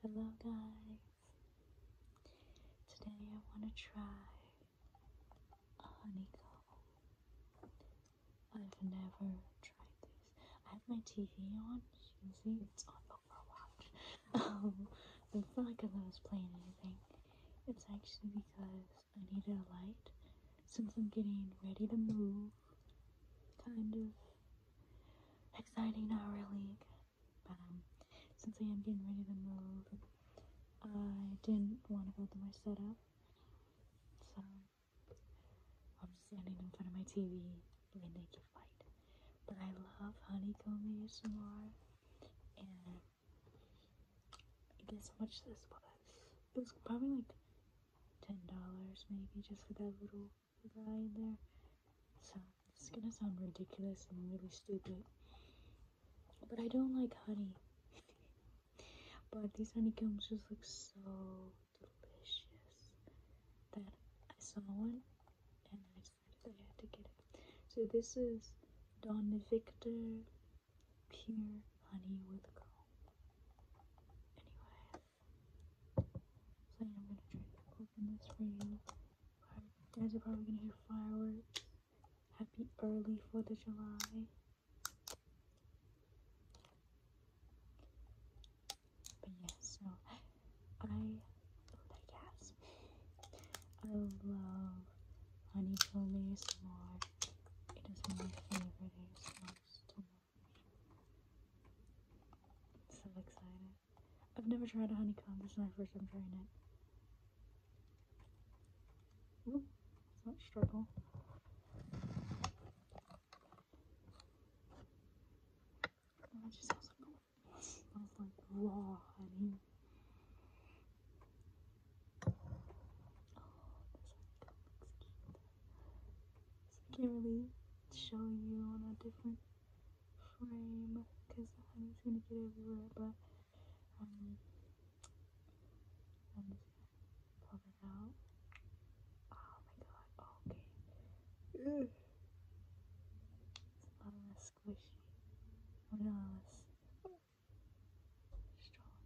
Hello guys! Today I want to try a honeycomb. I've never tried this. I have my TV on. You can see it's on Overwatch. um, it's not like I was playing anything. It's actually because I needed a light. Since I'm getting ready to move, kind of exciting, not really. But um, since I am getting ready to move, I didn't want to go through my setup, so I'm just standing in front of my TV in naked light. But I love honeycomb ASMR, and guess how much this was? It was probably like ten dollars, maybe, just for that little guy in there. So it's gonna sound ridiculous and really stupid. But I don't like honey. but these honeycombs just look so delicious that I saw one and I decided I had to get it. So this is Don Victor Pure Honey with Comb. Anyway, so I'm gonna try to open this for you. guys are probably gonna hear fireworks. Happy early 4th of July. But yeah, so I like I love honeycomb ASMR. It is my favorite so excited. I've never tried a honeycomb. This is my first time trying it. Ooh, it's not struggle. it just smells like, raw honey. Oh, I can't really show you on a different frame because the honey's gonna get everywhere, but um, I'm just going out. Oh my god, okay. It's a lot less squishy. I mean, a strong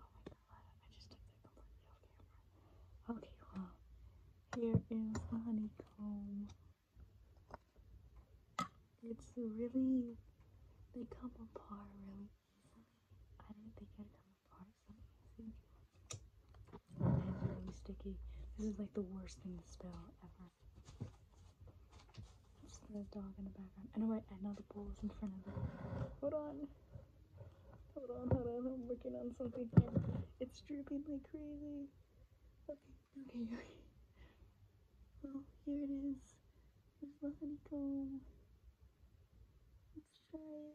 Oh my god, I just took that completely off camera. Okay, well, here is the honeycomb. It's really, they come apart really easily. I didn't think it would come apart so easily. And it's really sticky. This is like the worst thing to spell ever. There's the dog in the background. I know my I know the bowl is in front of it. Hold on. Hold on, hold on. I'm working on something here. It's dripping like crazy. Okay, okay, okay. Well, here it is. There's honeycomb. Let's try it.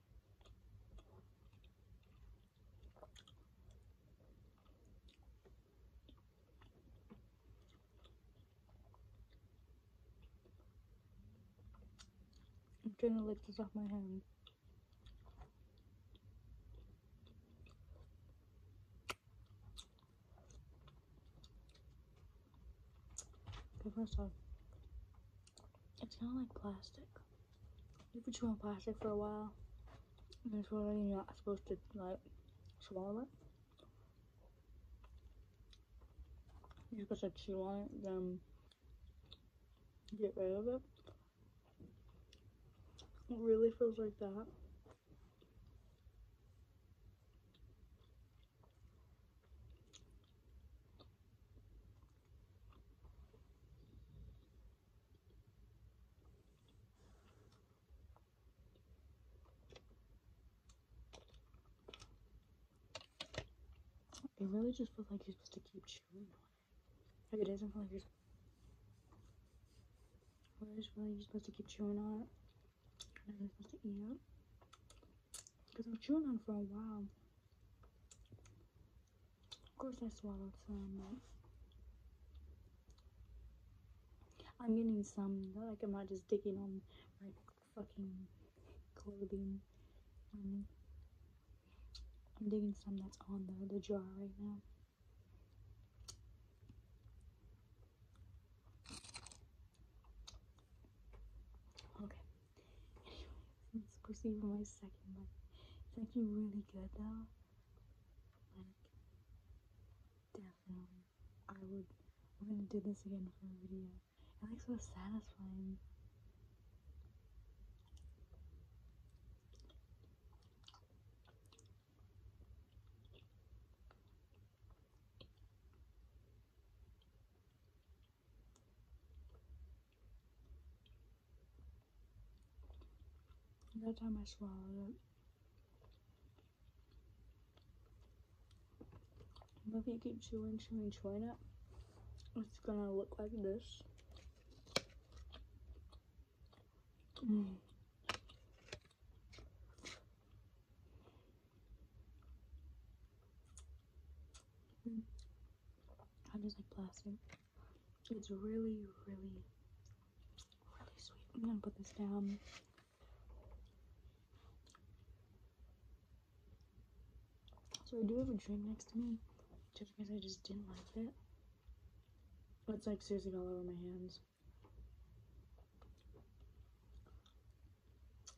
I'm trying to lift this off my hand. Okay, first off, it's kind of like plastic. you put been on plastic for a while, and it's really not supposed to, like, swallow it. You're supposed to chew on it, then get rid of it. It really feels like that. It really just feels like you're supposed to keep chewing on it. Like it doesn't feel like you're. Well, it you're supposed to keep chewing on it and there's nothing here because I'm chewing on for a while. Of course, I swallowed some. I'm getting some like i might just dig in on my fucking clothing. Um, I'm digging some that's on the, the jar right now. Okay. Anyways, let's proceed with my second one. It's actually really good though. Like, definitely. I would. I'm gonna do this again for a video. It like so satisfying. That time I swallowed it. But if you keep chewing, chewing, chewing it, it's gonna look like this. Mm. I am hmm. just like blasting. It's really, really, really sweet. I'm gonna put this down. So I do have a drink next to me, just because I just didn't like it. It's like seriously all over my hands.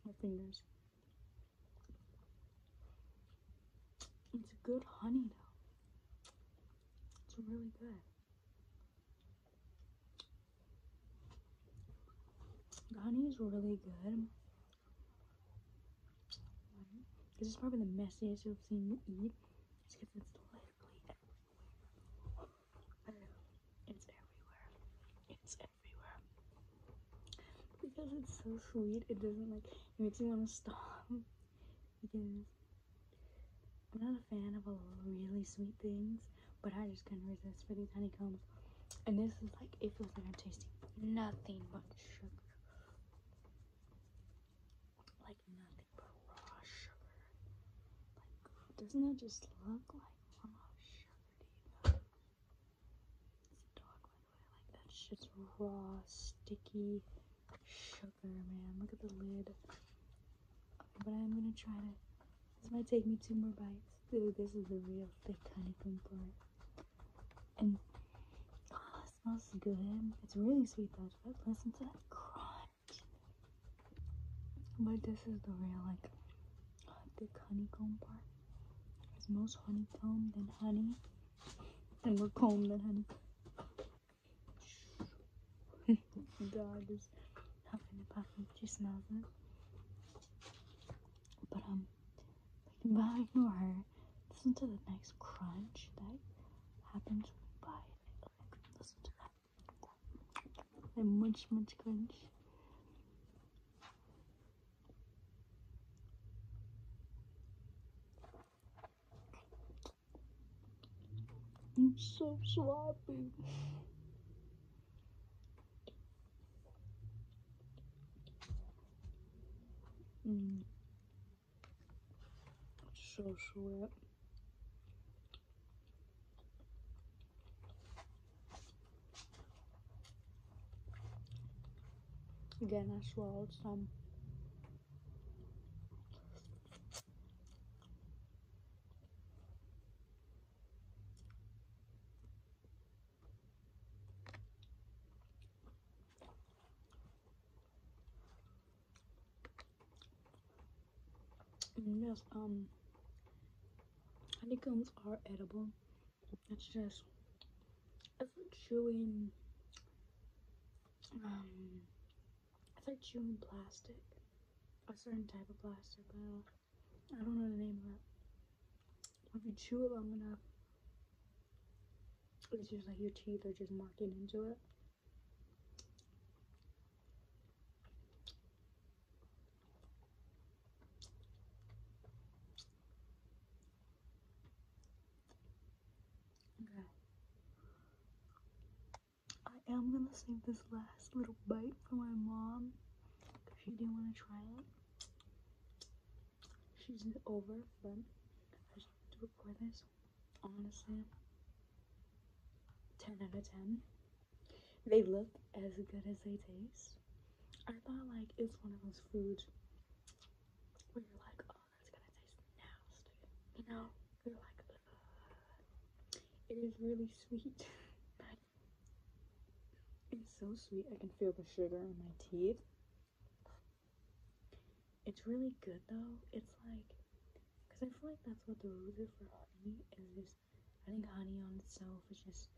My fingers. It's good honey though. It's really good. The honey is really good. This is probably the messiest I've seen you eat. It's because it's literally it's everywhere. It's everywhere. Because it's so sweet, it doesn't like it makes me want to stop. because I'm not a fan of all really sweet things, but I just can not resist for these honeycombs. And this is like it feels like I'm tasting nothing but sugar. Like nothing but raw sugar. Like doesn't that just look like Oh, sugar It's dog, like that shit's raw, sticky sugar, man. Look at the lid. but I'm gonna try to. This might take me two more bites. Dude, this is a real thick honeycomb part. And oh, it smells good. It's really sweet though. Should I listen to that crunch? But this is the real like the honeycomb part. It's most honeycomb than honey. And more comb than honey. the dog is huffing and puffing. She it. But um but ignore her. Listen to the nice crunch that happens when you bite. listen to that and much, much crunch. I'm so sloppy. Mm. So sweat. Again, I swallowed some. And yes, um, honeycombs are edible. It's just, it's like chewing, um, it's like chewing plastic. A certain type of plastic, but I uh, don't, I don't know the name of it. If you chew it long enough, it's just like your teeth are just marking into it. Okay. I am gonna save this last little bite for my mom. Cause she didn't want to try it. She's over, but I should do it for this honestly, 10 out of 10. They look as good as they taste. I thought like it's one of those foods where you're like, oh, that's gonna taste nasty. You know, you're like, it is really sweet. it's so sweet. I can feel the sugar in my teeth. It's really good though. It's like because I feel like that's what the rules are for honey, is just, I think honey on itself is just,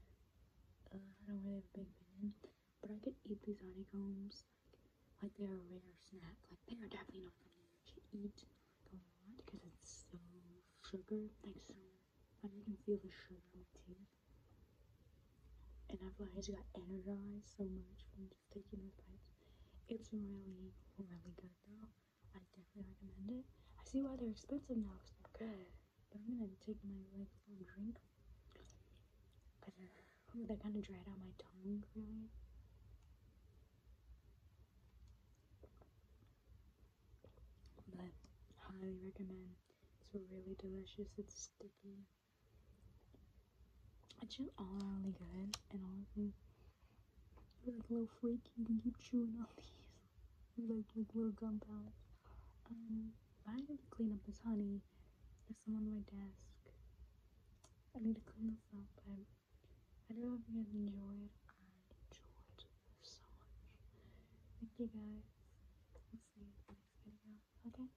uh, I don't really have a big opinion. But I could eat these honeycombs, like, like they're a rare snack. Like, they are definitely not something to eat, a lot, because it's so sugar, like, so, like, can feel the sugar on my teeth. And I feel like I just got energized so much from taking those bites. It's really, really good though. I definitely recommend it. I see why they're expensive now because they're good. But I'm gonna take my like little drink because that kind of dried out my tongue really. But highly recommend. It's really delicious. It's sticky. I chew all around really good and all of these. You're like a little freak, you can keep chewing on these. They're like like little gum pellets. Um I need to clean up this honey. There's some on my desk. I need to clean this up, I don't know if you guys enjoyed. I enjoyed this so much. Thank you guys. We'll see you in the next video. Okay?